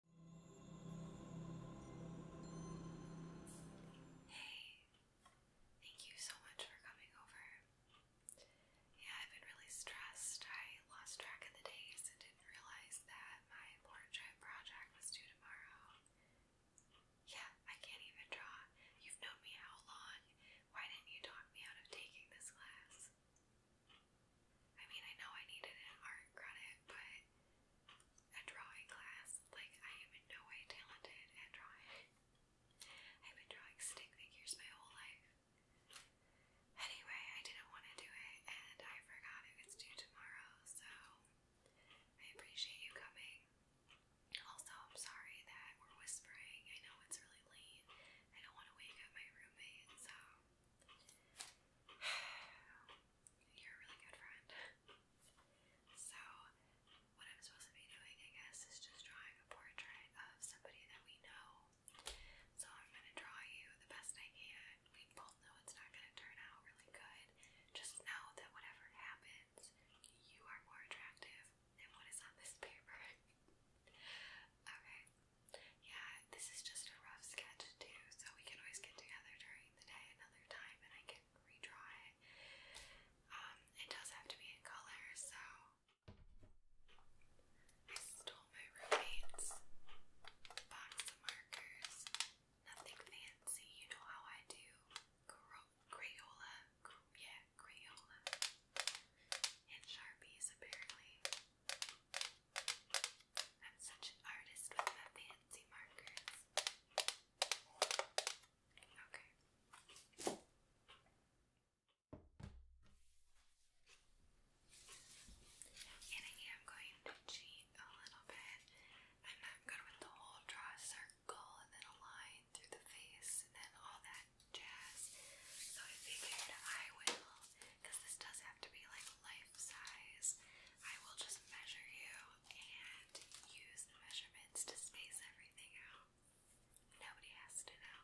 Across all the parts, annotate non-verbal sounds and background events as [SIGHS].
Hey, thank you so much for coming over. Yeah, I've been really stressed. I lost track of the days and didn't realize that my portrait project was due tomorrow. Yeah, I can't even draw. You've known me how long? Why didn't you talk me out of taking this class? I mean, I know I needed an art credit, but a drawing class, like, I am in no way talented at drawing. I've been drawing stick figures my whole life. Anyway, I didn't want to do it, and I forgot it due tomorrow, so I appreciate you coming. Also, I'm sorry that we're whispering. I know it's really late. I don't want to wake up my roommate, so [SIGHS] You're a really good friend. so, what I'm supposed to be doing, I guess, is just drawing a portrait of somebody that we know. So, I'm going to draw you the best I can. We both know it's not going to turn out really good. Just know that whatever happens, you are more attractive than what is on this [LAUGHS] paper. okay, yeah, this is just a rough sketch too, so we can always get together during the day another time and I can redraw it. Um, it does have to be in color, so I stole my roommate's box of markers. Nothing fancy, you know how I do. Crayola, yeah, Crayola, and Sharpies apparently. I'm such an artist with my fancy markers. Okay. And I am going to cheat a little bit. I'm not good with the whole draw a circle and then a line through the face and then all that jazz. So I figured I will because this does have to be like life size, I will just measure you and use the measurements to space everything out. Nobody has to know.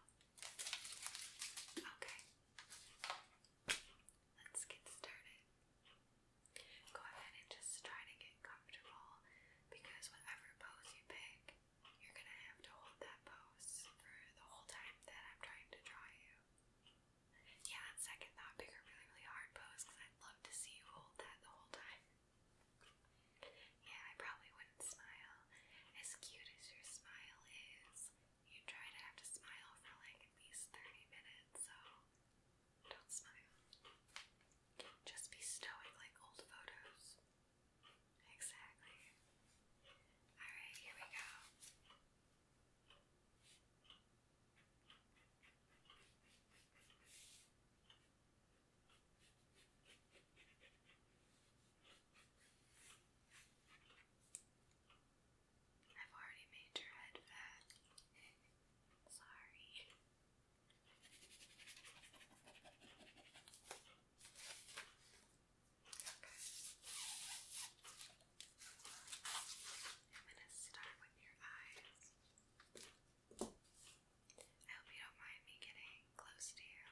Okay. Let's get started. Go ahead and just try to get comfortable because whatever pose you pick, you're gonna have to hold that pose for the whole time that I'm trying to draw you. Yeah, second thought pick really, really hard pose because I'd love to see you hold that the whole time. Yeah, I probably wouldn't smile. As cute as your smile is, you try to have to smile for like at least 30 minutes, so don't smile. Just be stoic like old photos. Exactly. Alright, here we go. I've already made your head fat. Sorry. Okay. I'm gonna start with your eyes. I hope you don't mind me getting close to you.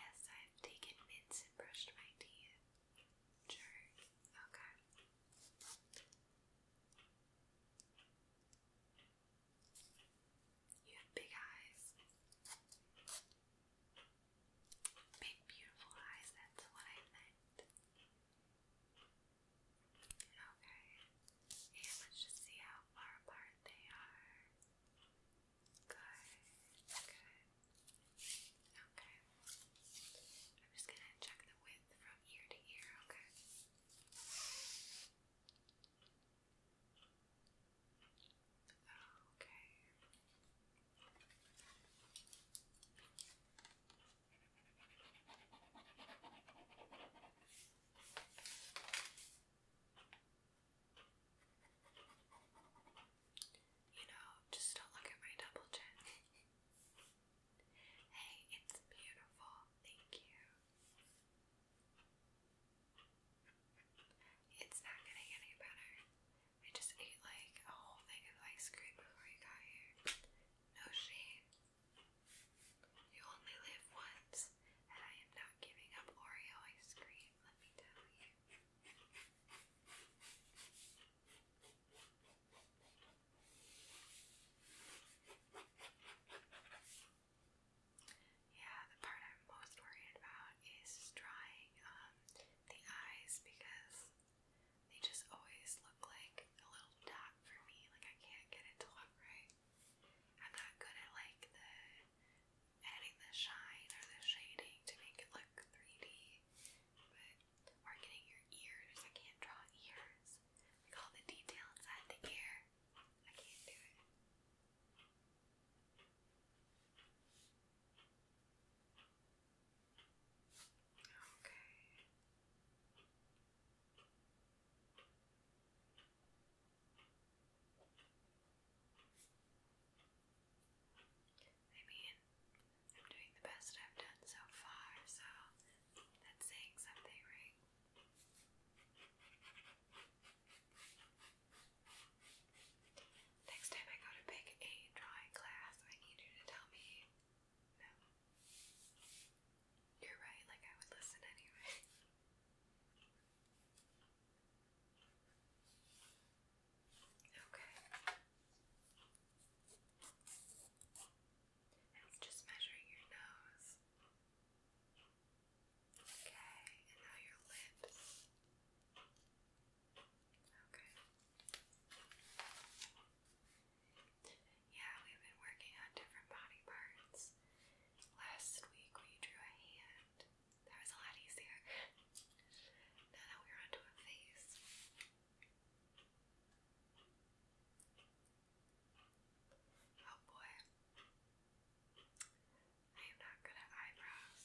Yes, I've taken mints and brushed my teeth. Sure. Okay. You have big eyes. Big beautiful eyes, that's what I meant. Okay, let's just see how far apart they are. Good, good. Okay, I'm just gonna check the width from ear to ear, okay? Okay. You know, just don't look at my double chin. [LAUGHS] hey, it's beautiful. Thank you. It's not going any better. I just ate like a whole thing of ice cream before you got here. No shame. You only live once, and I am not giving up Oreo ice cream, let me tell you. Yeah, the part I'm most worried about is drying um, the eyes because they just always look like a little dot for me. Like I can't get it to look right. I'm not good at like the adding the shine or the shading to make it look 3D. But or getting your ears. I can't draw ears. Like all the detail inside the ear. I can't do it. Okay. I mean, I'm doing the best I've done so far, so that's saying something, right? Next time I go to pick a drawing class, I need you to tell me no. You're right, like I would listen anyway. okay. It's just measuring your nose. Okay, and now your lips. Okay. Yeah, we've been working on different body parts. Last week we drew a hand. That was a lot easier. now that we're onto a face. Oh boy. I am not good at eyebrows.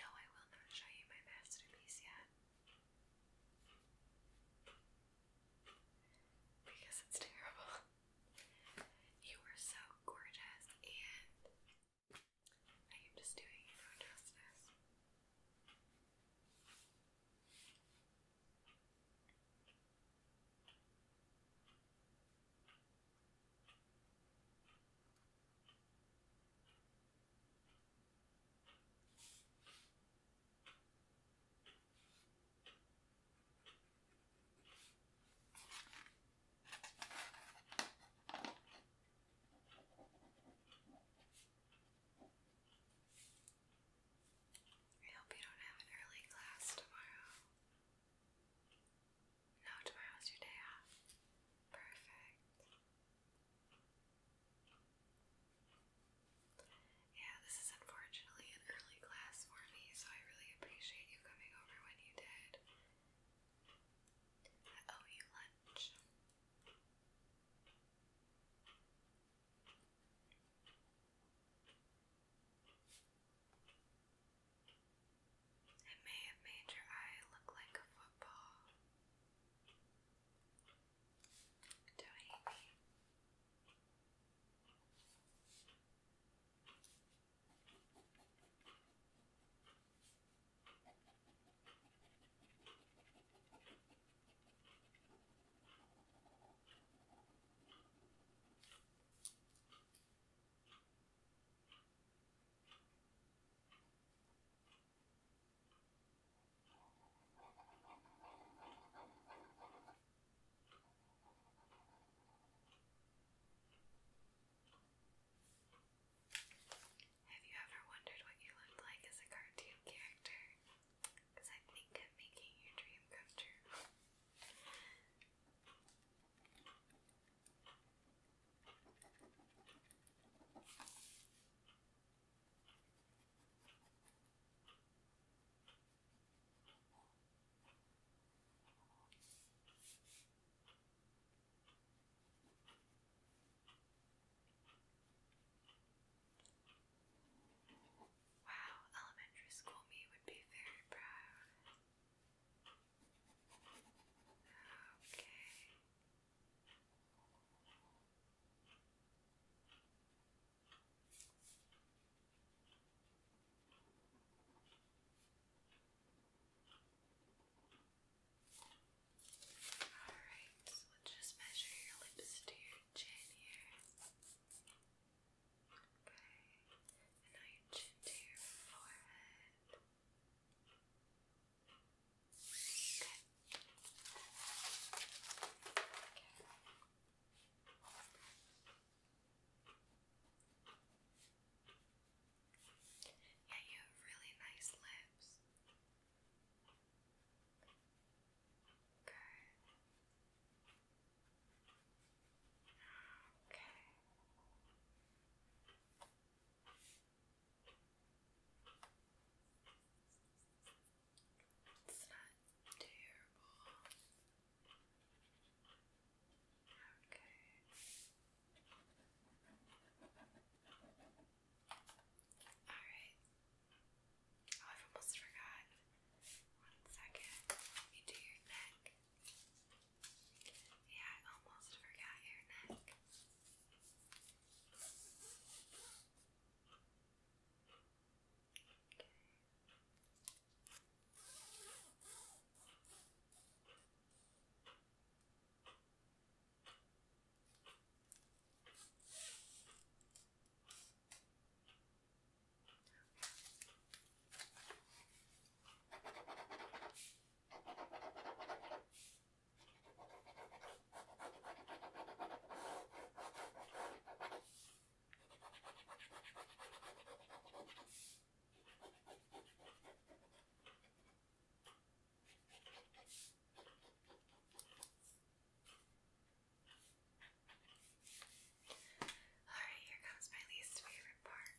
No, I will not show you my masterpiece yet. Because it's terrible. You were so gorgeous, and I am just doing you no justice. I hope you don't have an early class tomorrow. No, tomorrow's your day off. Perfect. Yeah, this is unfortunately an early class for me, so I really appreciate you coming over when you did. I owe you lunch. It may have made your eye look like a football. Don't hate me. Now have you ever wondered what you looked like as a cartoon character? Because I think I'm making your dream come true. Wow, elementary school me would be very proud. Alright, so we just measure your lips to your chin here. Okay, and now your chin to your forehead. Yeah, you have really nice lips. Good. Okay. It's not terrible. Okay. Alright. Oh, i almost forgot. One second. Let me do your neck. Yeah, I almost forgot your neck. Alright, here comes my least favorite part.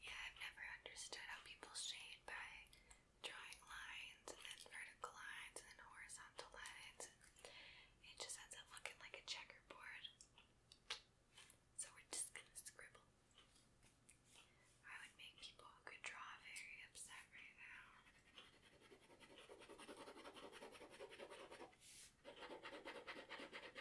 Yeah, I've never understood how people shade by drawing lines and then vertical lines and then horizontal lines. It just ends up looking like a checkerboard. So we're just gonna scribble. I would make people who could draw very upset right now.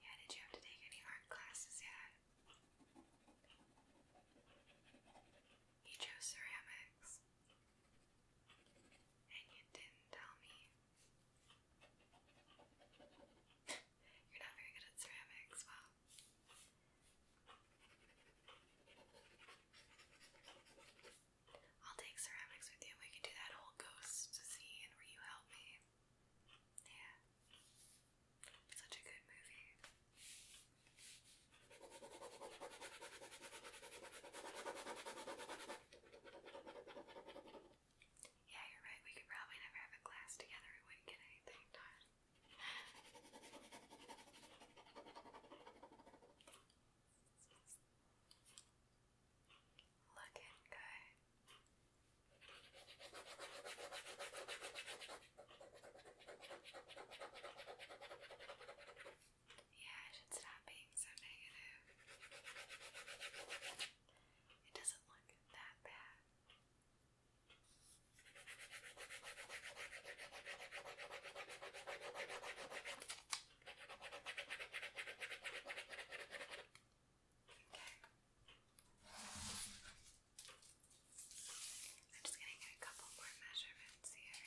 Yeah, did you have to take any art classes yet? You chose ceramics. And you didn't tell me. You're not very good at ceramics, wow. I'll take ceramics with you. We can do that whole ghost scene where you help me. Yeah. Such a good movie. Yeah, you're right. We could probably never have a class together. We wouldn't get anything done. Looking good. Yeah, I should stop being so negative. It doesn't look that bad. Okay. I'm just going a couple more measurements here.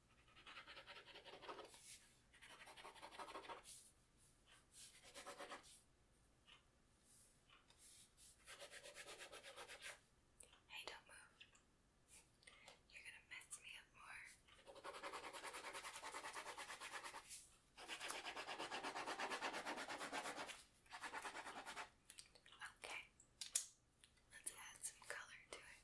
Hey, don't move. You're gonna mess me up more. Okay, let's add some color to it.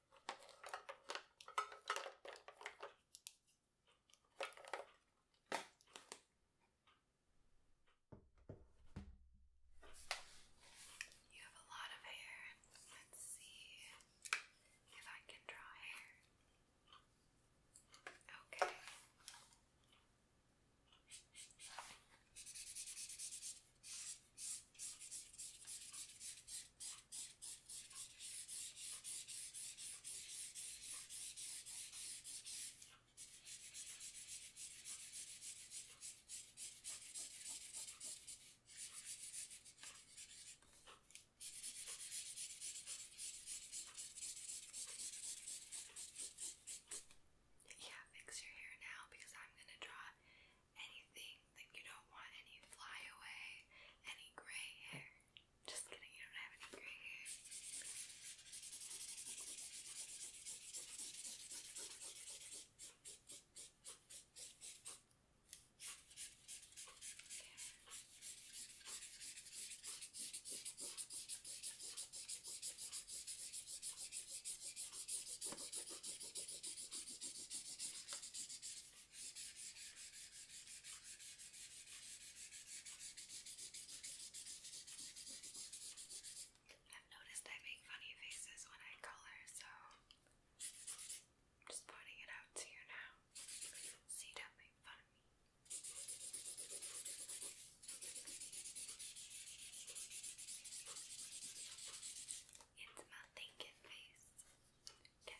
You have a lot of hair. Let's see if I can draw hair. Okay. Yeah, fix your hair now because I'm gonna draw anything like, you don't want any flyaway, any gray hair. Just kidding, you don't have any gray hair. Okay i noticed I make funny faces when I color, so I'm just pointing it out to you now so don't make fun It's my thinking face. Okay.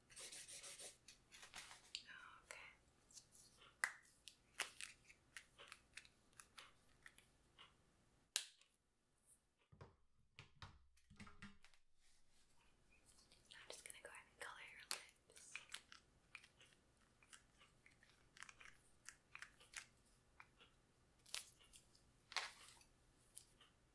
Okay. I'm just going to go ahead and color your lips.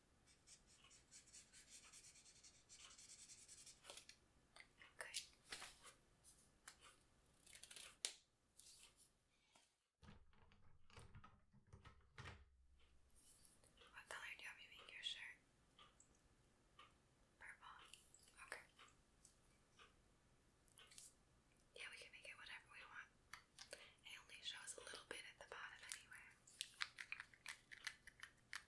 Okay. What color do you have me make your shirt? Purple. Okay. Yeah, we can make it whatever we want. It only shows a little bit at the bottom anyway.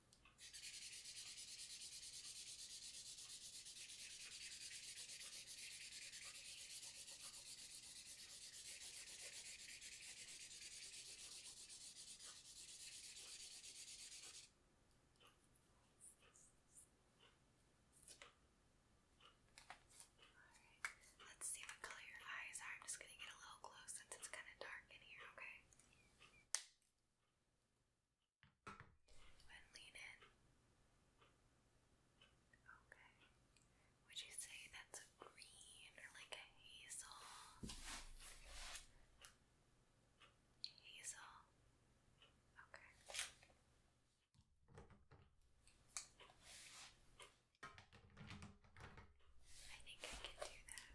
Alright, let's see what color your eyes are. I'm just gonna get a little close since it's kind of dark in here, okay? And lean in. Okay. Would you say that's a green or like a hazel? Hazel. Okay. I think I can do that.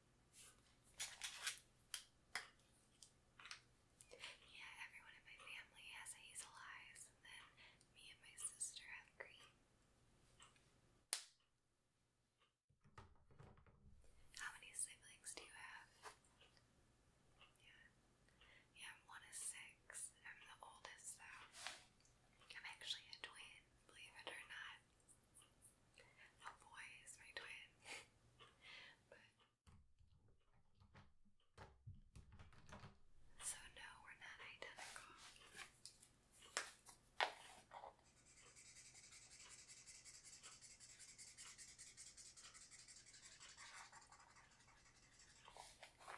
Yeah, everyone in my family has hazel eyes, and then me and my sister have green. How many siblings do you have? Yeah. Yeah, I'm one of six. I'm the oldest, though. I'm actually a twin, believe it or not. Not boys, my twin. but so no, we're not identical. We're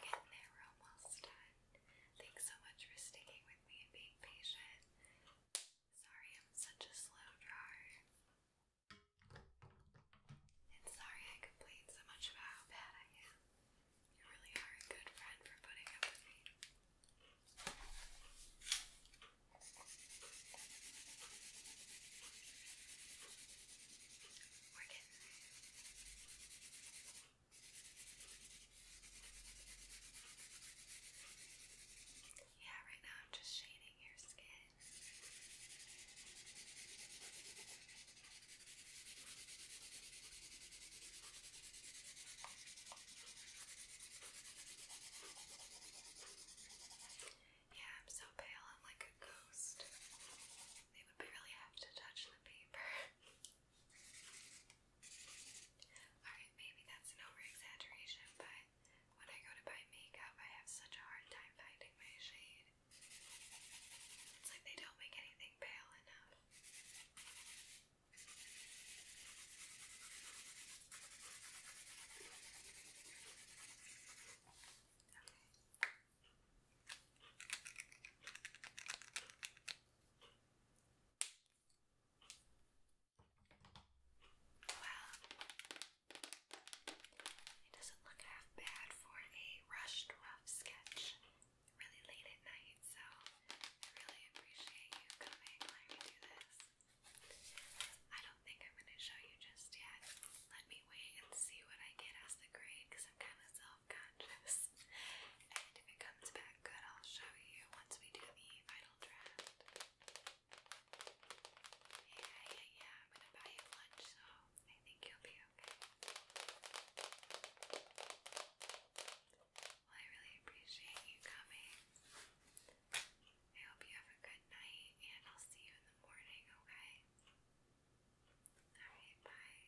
getting there, almost done. Thanks so much for sticking with me and being patient. Sorry, I'm such a slow drawer. And sorry I complain so much about how bad I am. You really are a good friend for putting up with me. We're getting there. Yeah, right now I'm just shading your skin. Yeah, I'm so pale, I'm like a ghost. They would barely have to touch the paper. [LAUGHS] Alright, maybe that's an over but when I go to buy makeup, I have such a hard time finding my shade. It's like they don't make anything pale enough. Well, it doesn't look half bad for a rushed rough sketch really late at night, so I really appreciate you coming letting me do this. I don't think I'm going to show you just yet. Let me wait and see what I get as the grade I'm kind of self-conscious. [LAUGHS] and if it comes back good, I'll show you once we do the final draft. Yeah, yeah, yeah. I'm gonna buy you lunch, so I think you'll be okay. Well, I really appreciate you coming. I hope you have a good night, and I'll see you in the morning, okay? Alright, bye.